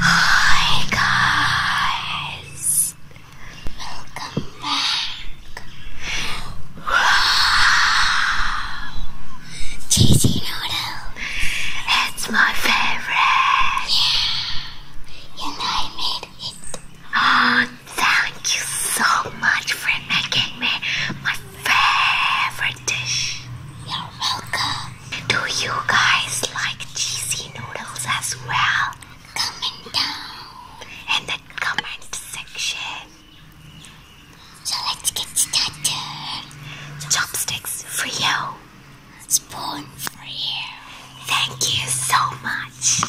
Hi guys, welcome back. Wow, cheesy noodle. It's my favorite. Yeah, and I made it. Oh, thank you so much for making me my favorite dish. You're welcome. Do you guys like cheesy noodles as well? Comment down in the comment section. So let's get started. Chopsticks for you. Spoon for you. Thank you so much.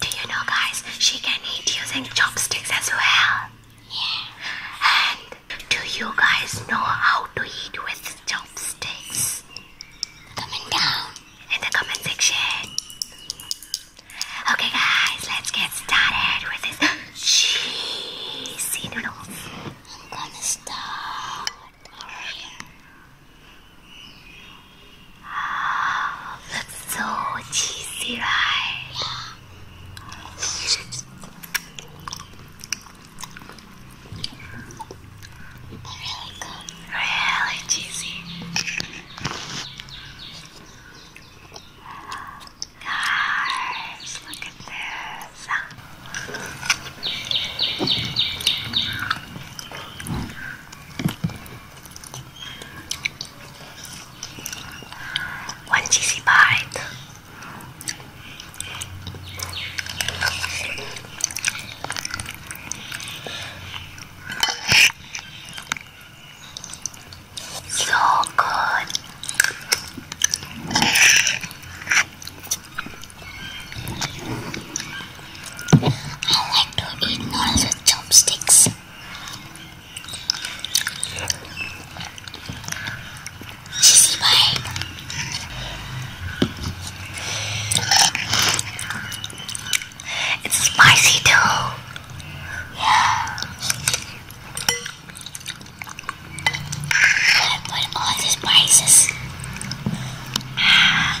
Do you know guys, she can eat using chopsticks as well. Yeah. And do you guys know how to eat with chopsticks? Comment down in the comment section. Okay, guys, let's get started with this cheesy noodles. I'm gonna start. Oh, looks so cheesy, right? Really good. Really cheesy. Guys, look at this. One cheesy bite. So good. I like to eat noise with chopsticks. Sissy Bye. It's spicy too. Yeah. I put all the spices. Ah.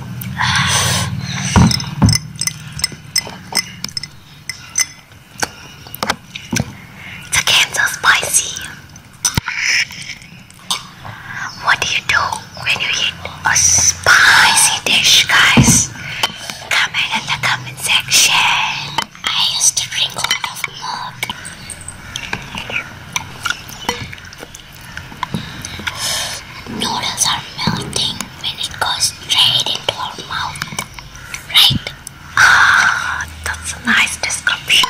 It's again spicy. What do you do when you eat a spicy dish, guys? Comment in the comment section. I used to drink a lot of milk. Noodles are melting when it goes straight into our mouth, right? Ah, that's a nice description.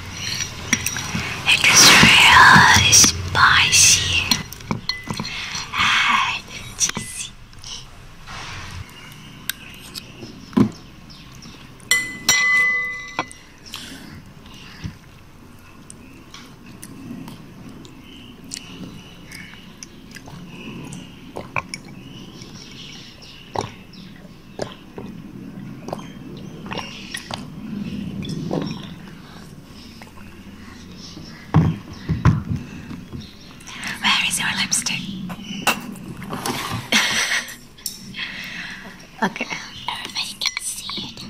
It is really spicy and ah, cheesy. Where is your lipstick? okay. Everybody can see it.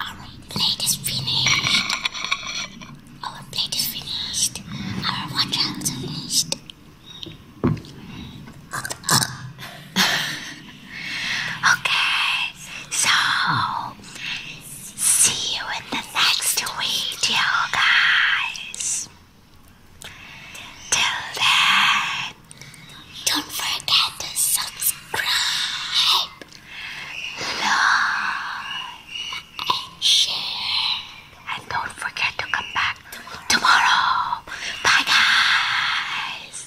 Our plate is finished. Our plate is finished. Our water is finished okay, so see you in the next video, guys. Till then, don't forget to subscribe, like, and share. And don't forget to come back tomorrow. Bye, guys.